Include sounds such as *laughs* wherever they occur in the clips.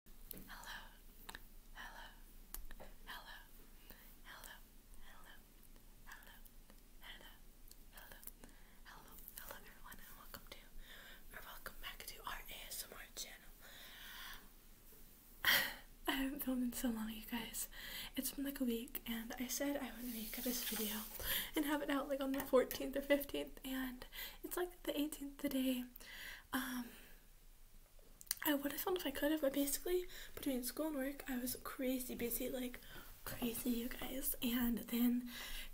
Hello, hello, hello, hello, hello, hello, hello, hello, hello, hello, everyone, and welcome to, or welcome back to our ASMR channel. *laughs* I haven't filmed in so long, you guys. It's been like a week, and I said I would make this video and have it out like on the 14th or 15th, and it's like the 18th today. Um, I would have fun if I could have, but basically between school and work, I was crazy busy, like crazy, you guys. And then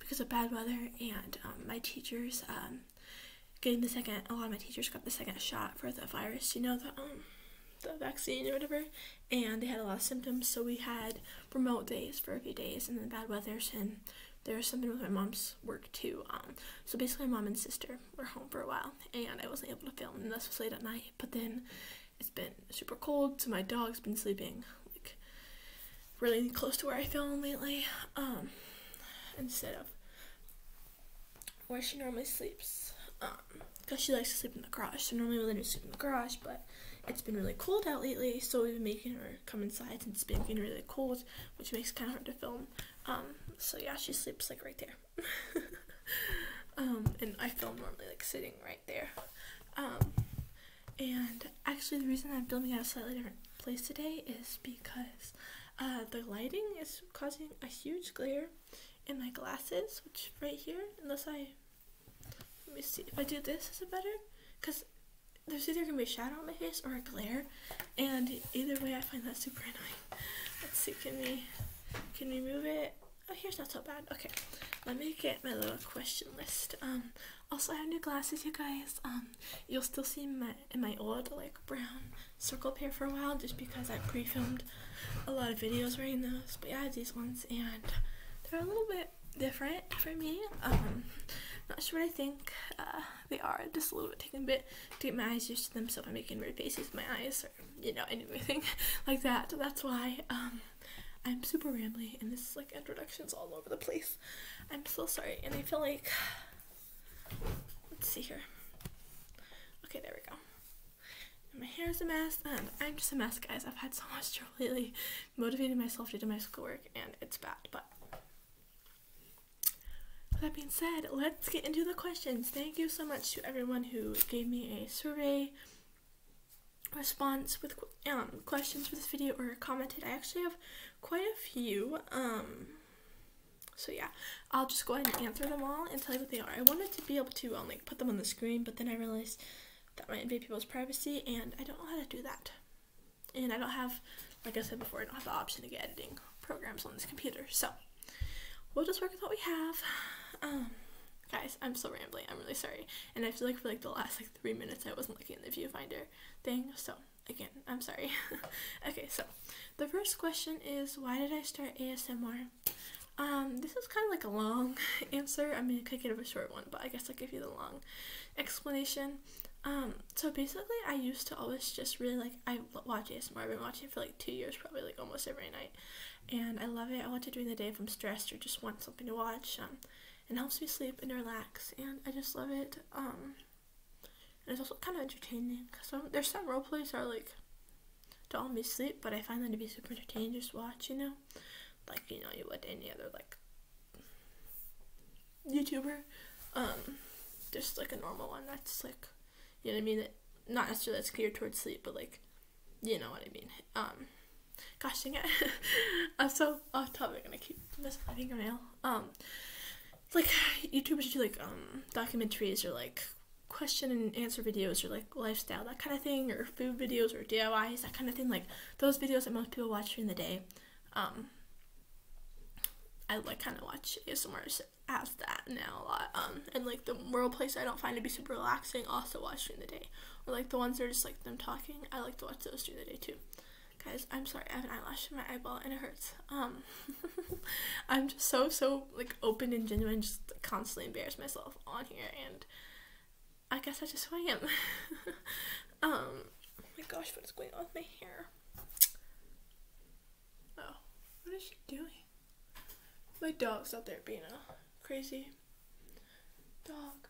because of bad weather and um, my teachers um, getting the second, a lot of my teachers got the second shot for the virus, you know, the um, the vaccine or whatever, and they had a lot of symptoms. So we had remote days for a few days, and then bad weather, and there's something with my mom's work too. Um, so basically, my mom and sister were home for a while, and I wasn't able to film, and this was late at night. But then it's been super cold, so my dog's been sleeping like really close to where I film lately, um, instead of where she normally sleeps, because um, she likes to sleep in the garage. So normally we let her sleep in the garage, but it's been really cold out lately, so we've been making her come inside and it's been getting really cold, which makes kind of hard to film. Um, so yeah, she sleeps like right there. *laughs* Um, and I film normally like sitting right there. Um, and actually, the reason I'm filming at a slightly different place today is because uh, the lighting is causing a huge glare in my glasses, which right here, unless I let me see if I do this, is it better? Because there's either gonna be a shadow on my face or a glare, and either way, I find that super annoying. Let's see, can we can we move it? Oh, here's not so bad. Okay, let me get my little question list. Um, also I have new glasses, you guys. Um, you'll still see my in my old like brown circle pair for a while, just because I pre-filmed a lot of videos wearing those. But I have these ones, and they're a little bit different for me. Um, not sure what I think. Uh, they are just a little bit taking a bit to get my eyes used to them so i'm making weird faces with my eyes or you know anything *laughs* like that that's why um i'm super rambly and this is like introductions all over the place i'm so sorry and i feel like let's see here okay there we go my hair is a mess and i'm just a mess guys i've had so much trouble lately motivating myself to do my schoolwork and it's bad but that being said, let's get into the questions. Thank you so much to everyone who gave me a survey response with um, questions for this video or commented. I actually have quite a few. Um, so yeah, I'll just go ahead and answer them all and tell you what they are. I wanted to be able to um, like put them on the screen, but then I realized that might invade people's privacy, and I don't know how to do that and I don't have, like I said before, I don't have the option to get editing programs on this computer. So we'll just work with what we have. Um, guys, I'm so rambling. I'm really sorry. And I feel like for like the last like three minutes, I wasn't looking at the viewfinder thing. So again, I'm sorry. *laughs* okay, so the first question is why did I start ASMR? Um, this is kind of like a long *laughs* answer. I mean, I could give a short one, but I guess I'll give you the long explanation. Um, so basically, I used to always just really like I watch ASMR. I've been watching for like two years, probably like almost every night, and I love it. I watch it during the day if I'm stressed or just want something to watch. Um, and helps me sleep and relax, and I just love it. Um, and it's also kind of entertaining because there's some role plays that are like don't help me sleep, but I find them to be super entertaining to watch, you know, like you know you would any other like YouTuber. Um, just like a normal one that's like, you know what I mean? not necessarily that's geared towards sleep, but like, you know what I mean. Um, gosh dang it, *laughs* I'm so off topic and I keep messing my fingernail. Um, like YouTubers do like um documentaries or like question and answer videos or like lifestyle that kind of thing or food videos or DIYs that kind of thing. Like those videos that most people watch during the day um, I like kind of watch ASMRs as that now a lot. Um, and like the world place I don't find to be super relaxing, also watch during the day. Or like the ones that are just like them talking, I like to watch those during the day too. Guys, I'm sorry, I have an eyelash in my eyeball and it hurts. Um, *laughs* I'm just so, so like open and genuine, just constantly embarrass myself on here. And I guess I just who I am. um, oh my gosh, what is going on with my hair? Oh, what is she doing? My dog's out there being a crazy dog.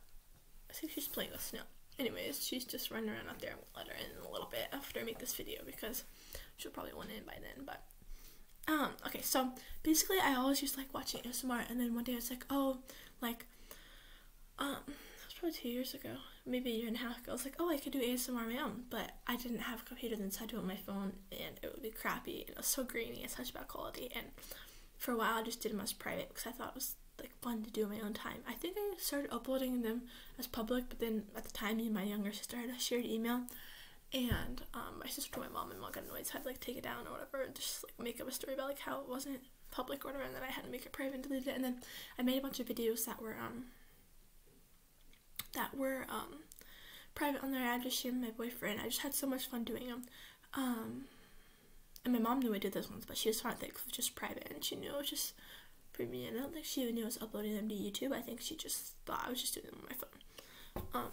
I think she's playing with snow. Anyways, she's just running around out there. I'm going let her in a little bit after I make this video because she'll probably want in by then. But um, okay, so basically I always just like watching ASMR and then one day it's like, oh, like um, that was probably two years ago, maybe a year and a half ago. I was like, oh, I could do ASMR on my own, but I didn't have a computer then, so I do it on my phone, and it would be crappy. It was so grainy and such bad quality. And for a while, I just did them as private because I thought it was like fun to do on my own time. I think I started uploading them as public, but then at the time, me and my younger sister had a shared email, and um, my sister, my mom, and mom got annoyed, so I had to like take it down or whatever, and just like make up a story about like how it wasn't public order and then I had to make it private and delete it and then I made a bunch of videos that were um that were um private on there I just shamed my boyfriend I just had so much fun doing them um and my mom knew I did those ones but she just fine with it was just private and she knew it was just for me and I don't think she even knew I was uploading them to YouTube I think she just thought I was just doing them on my phone um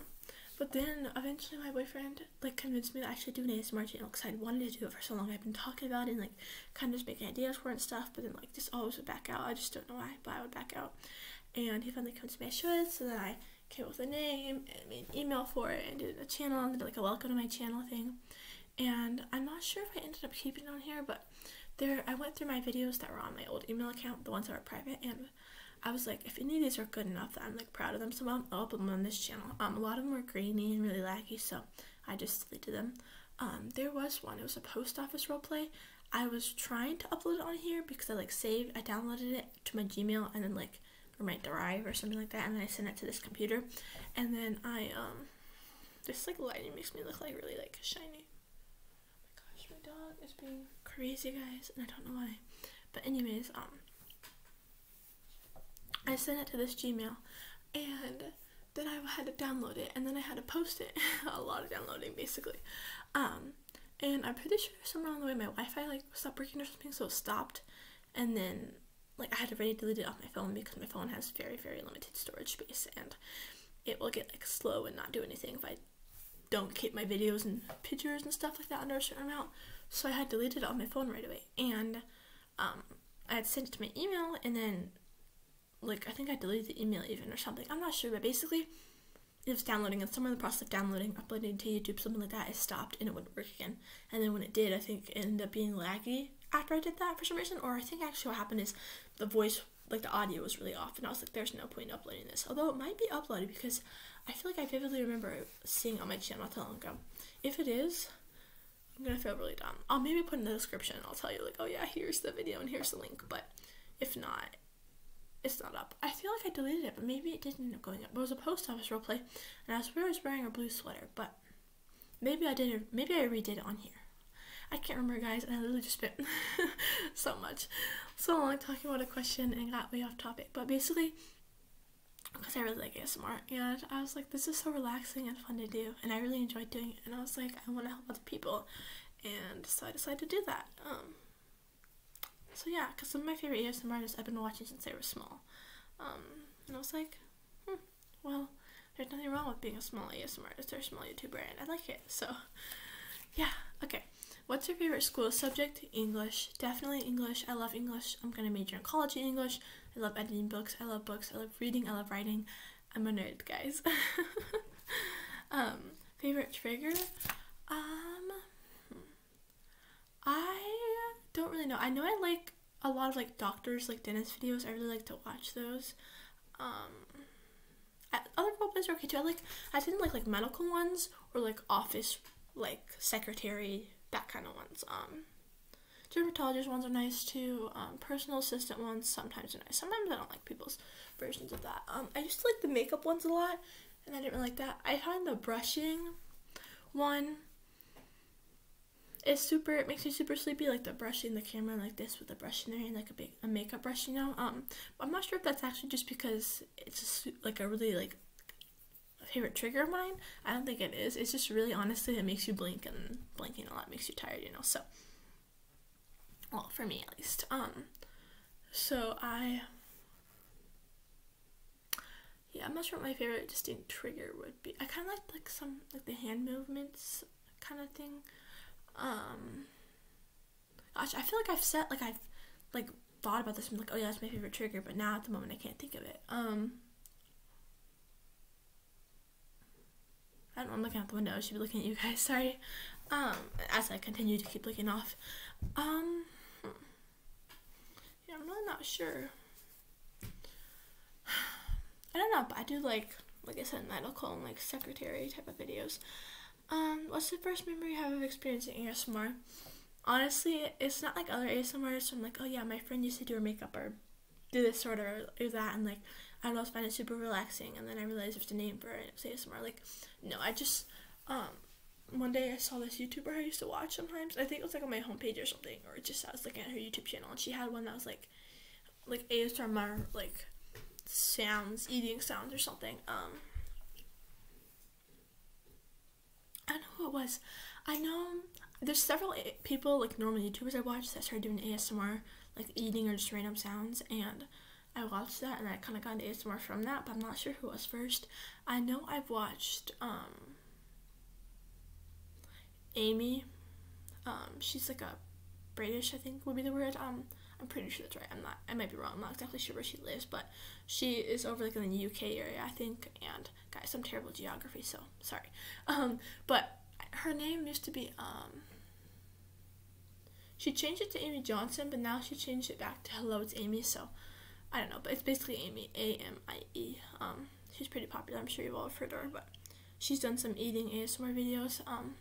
but then eventually my boyfriend like convinced me that I should do an ASMR channel because i wanted to do it for so long. I've been talking about it and like kind of just making ideas for it and stuff, but then like just always would back out. I just don't know why, but I would back out. And he finally convinced me I should, so then I came up with a name and an email for it and did a channel and did like a welcome to my channel thing. And I'm not sure if I ended up keeping it on here, but there I went through my videos that were on my old email account, the ones that were private, and I was like, if any of these are good enough that I'm like proud of them, so I'll, i them on this channel. Um, a lot of them were grainy and really laggy, so I just deleted them. Um, there was one. It was a post office role play. I was trying to upload it on here because I like saved, I downloaded it to my Gmail and then like or my drive or something like that, and then I sent it to this computer, and then I um, this like lighting makes me look like really like shiny. Oh my gosh, my dog is being crazy, guys, and I don't know why. But anyways, um, I sent it to this Gmail and then I had to download it and then I had to post it. *laughs* a lot of downloading basically. Um, and I'm pretty sure somewhere along the way my Wi-Fi like stopped working or something, so it stopped. And then like I had already deleted it off my phone because my phone has very very limited storage space and it will get like slow and not do anything if I don't keep my videos and pictures and stuff like that under a certain amount. So I had deleted it off my phone right away and um, I had sent it to my email and then like I think I deleted the email even or something. I'm not sure, but basically it was downloading and somewhere in the process of downloading, uploading to YouTube, something like that, it stopped and it wouldn't work again. And then when it did, I think it ended up being laggy after I did that for some reason. Or I think actually what happened is the voice like the audio was really off and I was like, there's no point in uploading this. Although it might be uploaded because I feel like I vividly remember seeing on my channel, Telegram. If it is, I'm gonna feel really dumb. I'll maybe put in the description I'll tell you like, oh yeah, here's the video and here's the link. But if not, it's not up. I feel like I deleted it, but maybe it didn't end up going up. It was a post office role play, and I was wearing a blue sweater, but maybe I did. Maybe I redid it on here. I can't remember, guys, and I literally just spent *laughs* so much, so long talking about a question and got way off topic. But basically, because I really like ASMR and I was like this is so relaxing and fun to do and I really enjoyed doing it and I was like I want to help other people and so I decided to do that um so yeah because some of my favorite ASMR artists I've been watching since they were small um and I was like hmm, well there's nothing wrong with being a small ASMR artist or a small YouTuber and I like it so yeah okay what's your favorite school subject English definitely English. I love English. I'm going to major in college in English. I love editing books. I love books. I love reading. I love writing. I'm a nerd, guys. *laughs* um, favorite trigger? Um, hmm. I don't really know. I know I like a lot of like doctors, like dentist videos. I really like to watch those. Um, other roleplays are okay too. I like I didn't like like medical ones or like office like secretary that kind of ones. Um, dermatologist ones are nice too. Um, personal assistant ones sometimes are nice. Sometimes I don't like people's versions of that. Um, I used to like the makeup ones a lot, and I didn't really like that. I find the brushing one is super. It makes me super sleepy. Like the brushing the camera like this with the brush in there and like a big a makeup brush, you know. Um, I'm not sure if that's actually just because it's just like a really like favorite trigger of mine. I don't think it is. It's just really honestly it makes you blink and blinking a lot makes you tired, you know. So well, for me at least. Um so I yeah, I'm not sure what my favorite distinct trigger would be. I kind of like like some like the hand movements kind of thing. Um gosh, I feel like I've said like I've like thought about this. I'm like, oh yeah, that's my favorite trigger. But now at the moment, I can't think of it. Um, I don't know, I'm looking out the window. I should be looking at you guys. *laughs* Sorry. Um, as I continue to keep looking off. Um, yeah, I'm really not sure. *sighs* I don't know, but I do like, like I said, medical and like secretary type of videos. Um, what's the first memory you have of experiencing ASMR? honestly, it's not like other ASMR artists. I'm like, oh yeah, my friend used to do her makeup or do this sort of or do that, and like I always find it super relaxing. And then I realized there's a name for it, and it's ASMR. Like, no, I just um one day I saw this YouTuber I used to watch sometimes. I think it was like on my homepage or something, or just I was looking at her YouTube channel, and she had one that was like like ASMR like sounds, eating sounds or something. Um, I know who it was. I know there's several eh, people like normal YouTubers I watched that started doing ASMR, like eating or just random sounds, and I watched that and I kind of got ASMR from that, but I'm not sure who was first. I know I've watched um, Amy. Um, she's like a British, I think would be the word. Um, I'm pretty sure that's right. I'm not. I might be wrong. I'm not exactly sure where she lives, but she is over like in the UK area, I think. And guys, I'm terrible geography, so sorry. Um, but her name used to be um, She changed it to Amy Johnson, but now she changed it back to Hello, it's Amy. So I don't know, but it's basically Amy A M I E. Um, she's pretty popular. I'm sure you've all heard her, but she's done some eating ASMR videos. Um,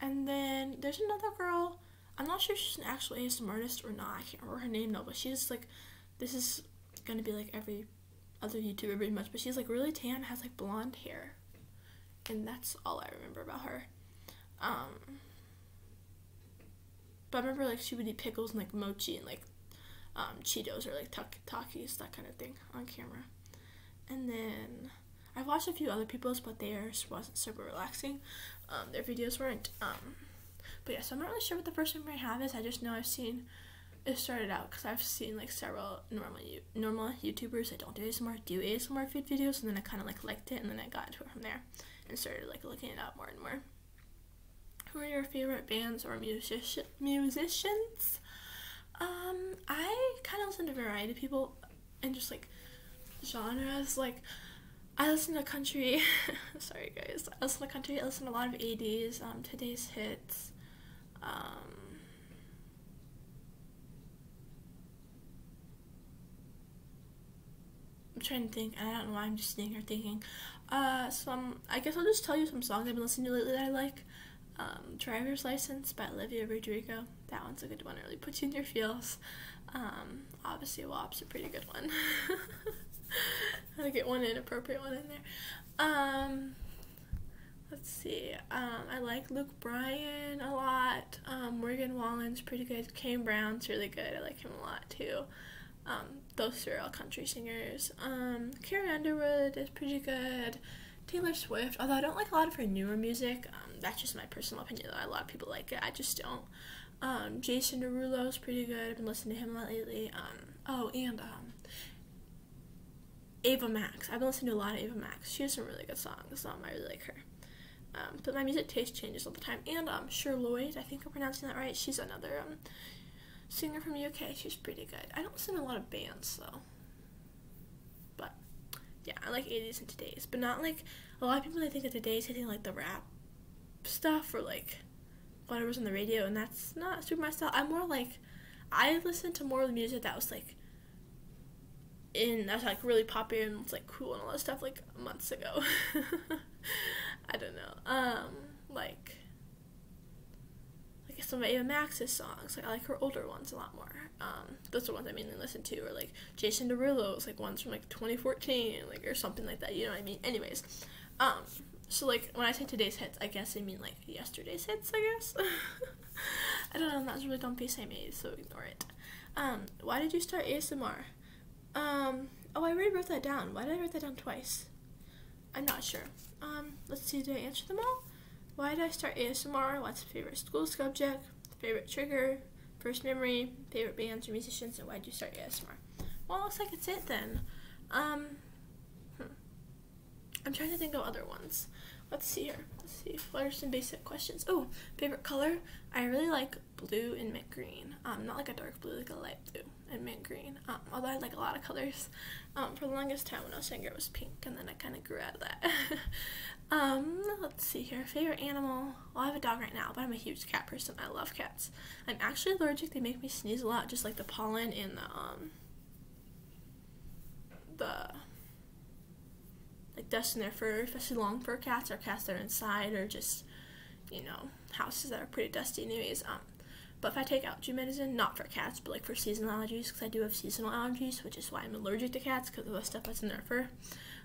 and then there's another girl I'm not sure if she's an actual ASMR artist or not. I can't remember her name though, but she's like, this is gonna be like every other YouTuber pretty much, but she's like really tan, has like blonde hair, and that's all I remember about her. Um, but I remember like she would eat pickles and like mochi and like um, Cheetos or like Takis, that kind of thing on camera. And then I've watched a few other people's, but theirs wasn't super relaxing. Um, their videos weren't. Um, but yeah, so I'm not really sure what the first memory I have is. I just know I've seen it started out because I've seen like several normal normal YouTubers that don't do ASMR do ASMR food videos, and then I kind of like liked it, and then I got into it from there and started like looking it up more and more. Who are your favorite bands or musicians? musicians? Um, I kind of listen to a variety of people and just like genres. Like, I listen to country. *laughs* Sorry, guys. I listen to country. I listen to a lot of 80s, um, today's hits. Um, I'm trying to think. I don't know why I'm just sitting here thinking. Uh, some. I guess I'll just tell you some songs I've been listening to lately that I like. Um, Driver's License by Olivia Rodrigo. That one's a good one. It really puts you in your feels. Um, obviously WAP's a pretty good one. How *laughs* to get one inappropriate one in there. Um, let's see. Um, I like Luke Bryan a lot. Um, Morgan Wallen's pretty good. Kane Brown's really good. I like him a lot too. Um, those three are all country singers. Um, Carrie Underwood is pretty good. Taylor Swift, although I don't like a lot of her newer music. Um, that's just my personal opinion, though. A lot of people like it. I just don't. Um, Jason Derulo is pretty good. I've been listening to him lately. Um, oh, and um, Ava Max. I've been listening to a lot of Ava Max. She has some really good songs. Um, I really like her. but my music taste changes all the time. And um, Cher Lloyd, I think I'm pronouncing that right. She's another singer from UK. She's pretty good. I don't listen to a lot of bands though. But yeah, I like 80s and today's, but not like a lot of people they think that today's is hitting like the rap stuff or like was on the radio, and that's not super my style. I'm more like I listened to more of the music that was like in that's like really popular and it's like cool and all that stuff like months ago. *laughs* I don't know. Um, like like some of Ava Max's songs. I like her older ones a lot more. Um, those are the ones I mainly listen to, or like Jason Derulo's, like ones from like 2014, like or something like that. You know what I mean? Anyways, um, so like when I say today's hits, I guess I mean like yesterday's hits. I guess. *laughs* I don't know. That's really dumb face I made, so ignore it. Um, why did you start ASMR? Um, oh, I already wrote that down. Why did I write that down twice? I'm not sure. Um, let's see. Did I answer them all? Why did I start ASMR? What's favorite school subject? favorite trigger, first memory, favorite bands or musicians, and why'd you start ASMR? Well, looks like it's it then. Um, hmm. I'm trying to think of other ones. Let's see here. Let's see. What are some basic questions? Oh, favorite color? I really like blue and mint green. Um, not like a dark blue, like a light blue and mint green. Um, although I like a lot of colors. Um, for the longest time when I was younger, it was pink, and then I kind of grew out of that. *laughs* Um, let's see here. Favorite animal? I have a dog right now, but I'm a huge cat person. I love cats. I'm actually allergic. They make me sneeze a lot, just like the pollen and the um the like dust in their fur, especially long fur cats or cats that are inside or just you know houses that are pretty dusty. Anyways, um, but if I take allergy medicine, not for cats, but like for seasonal allergies, because I do have seasonal allergies, which is why I'm allergic to cats because of the stuff that's in their fur.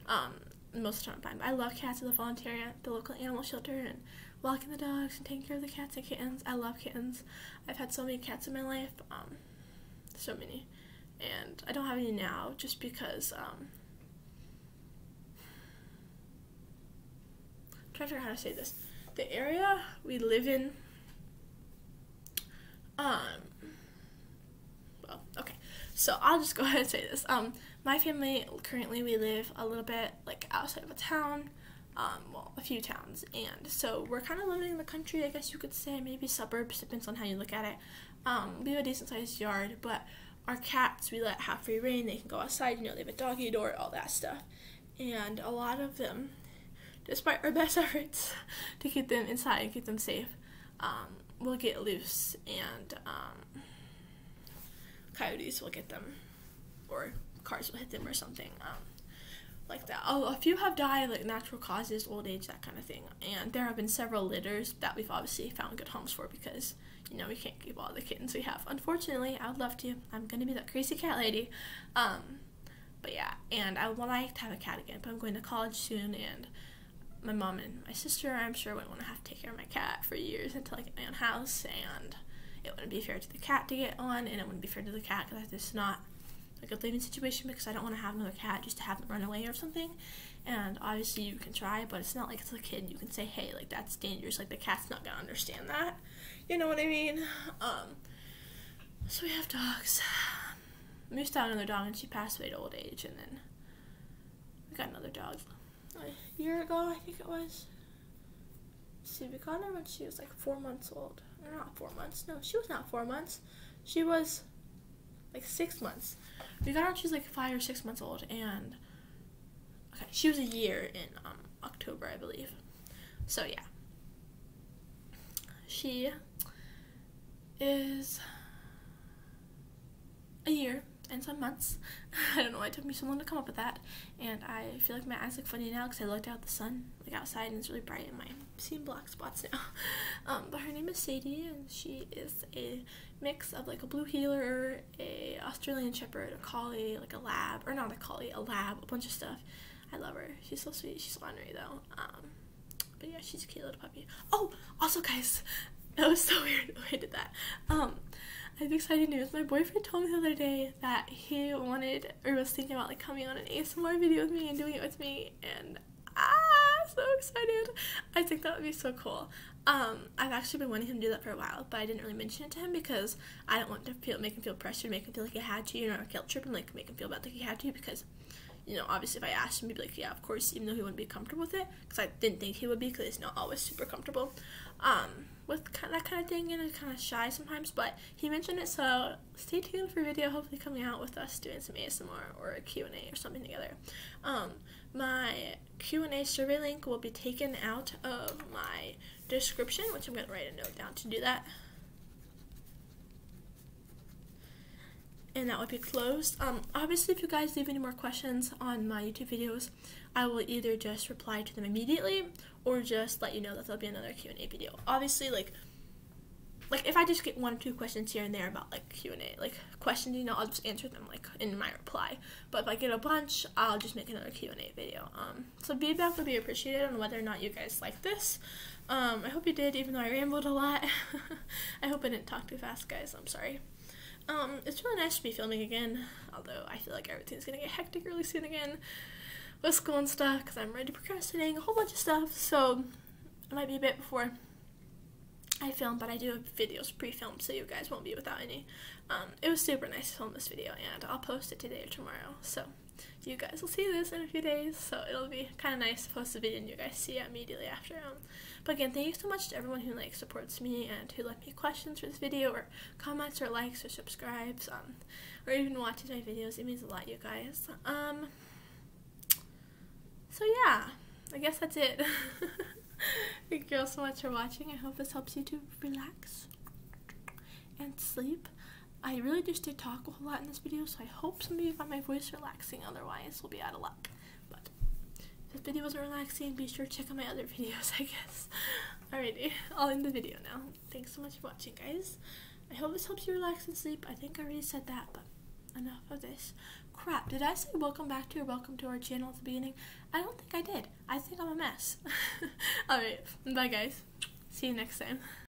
Um, most of the time. I love cats. at the volunteer at the local animal shelter and walking the dogs and taking care of the cats and kittens. I love kittens. I've had so many cats in my life, um, so many, and I don't have any now just because. I'm um, trying to figure out how to say this. The area we live in, um, well, okay. So I'll just go *laughs* ahead and say this. Um, my family currently we live a little bit like outside of a town, um, well, a few towns, and so we're kind of living in the country, I guess you could say, maybe suburbs, depends on how you look at it. Um, we have a decent sized yard, but our cats we let have free reign. They can go outside, you know, they have a doggy door, all that stuff, and a lot of them, despite our *laughs* best efforts to keep them inside and keep them safe, um, will get loose and um, coyotes will get them or cars will hit them or something um, like that. Oh, a few have died like natural causes, old age, that kind of thing. And there have been several litters that we've obviously found good homes for because you know we can't keep all the kittens we have. Unfortunately, I would love to. I'm gonna be that crazy cat lady. Um, but yeah, and I would like to have a cat again. But I'm going to college soon and my mom and my sister, I'm sure, would not want to have to take care of my cat for years until I get my own house, and it wouldn't be fair to the cat to get one, and it wouldn't be fair to the cat because it's not a good living situation because I don't want to have another cat just to have them run away or something. And obviously, you can try, but it's not like it's a kid. You can say, hey, like that's dangerous. Like the cat's not gonna understand that. You know what I mean? Um, so we have dogs. Moose died another dog, and she passed away to old age. And then we got another dog a year ago, I think it was. let we got her when she was like four months old. Or not four months. No, she was not four months. She was like six months. We got her when she was like five or six months old, and okay, she was a year in um, October, I believe. So yeah, she is a year and some months. *laughs* I don't know why it took me so long to come up with that. And I feel like my eyes look funny now because I looked out the sun, like outside, and it's really bright, and my am seeing black spots now. *laughs* Um, but her name is Sadie, and she is a mix of like a blue heeler, a Australian shepherd, a collie, like a lab, or not a collie, a lab, a bunch of stuff. I love her. She's so sweet. She's ornery though. Um, but yeah, she's a cute little puppy. Oh, also, guys, *laughs* that was so weird *laughs* I did that. Um, I have exciting news. My boyfriend told me the other day that he wanted or was thinking about like coming on an ASMR video with me and doing it with me, and ah, so excited! I think that would be so cool. Um, I've actually been wanting him to do that for a while, but I didn't really mention it to him because I don't want to feel make him feel pressured, make him feel like he had to, you know, or guilt trip, and like make him feel bad that he had to because you know, obviously if I asked him, he'd be like, yeah, of course, even though he wouldn't be comfortable with it, because I didn't think he would be, because he's not always super comfortable um, with that kind of thing, and he's kind of shy sometimes, but he mentioned it, so stay tuned for a video, hopefully coming out with us doing some ASMR or a Q&A or something together. Um, my Q&A survey link will be taken out of my description, which I'm going to write a note down to do that and that would be closed. Um, obviously, if you guys leave any more questions on my YouTube videos, I will either just reply to them immediately or just let you know that there'll be another Q&A video. Obviously, like, like if I just get one or two questions here and there about like Q&A, like questions, you know, I'll just answer them like in my reply. But if I get a bunch, I'll just make another Q&A video. Um, so feedback would be appreciated on whether or not you guys like this. Um, I hope you did, even though I rambled a lot. *laughs* I hope I didn't talk too fast, guys. I'm sorry. Um, it's really nice to be filming again, although I feel like everything's gonna get hectic really soon again with school and stuff because I'm ready procrastinating a whole bunch of stuff. So it might be a bit before I film, but I do have videos pre-filmed so you guys won't be without any. Um, it was super nice to film this video and I'll post it today or tomorrow. So you guys will see this in a few days, so it'll be kind of nice to post a video and you guys see it immediately after. Um. but again, thank you so much to everyone who like supports me and who left me questions for this video or comments or likes or subscribes um, or even watches my videos. It means a lot, you guys. Um, so yeah, I guess that's it. *laughs* thank you all so much for watching. I hope this helps you to relax and sleep. I really just did talk a whole lot in this video, so I hope somebody of found my voice relaxing. Otherwise, we'll be out of luck. But if this video wasn't relaxing, be sure to check out my other *laughs* videos, I guess. Alrighty, I'll end the video now. Thanks so much for watching, guys. I hope this helps you relax and sleep. I think I already said that, but enough of this crap. Did I say welcome back to or welcome to our channel at the beginning? I don't think I did. I think I'm a mess. *laughs* Alright, bye guys. See you next time.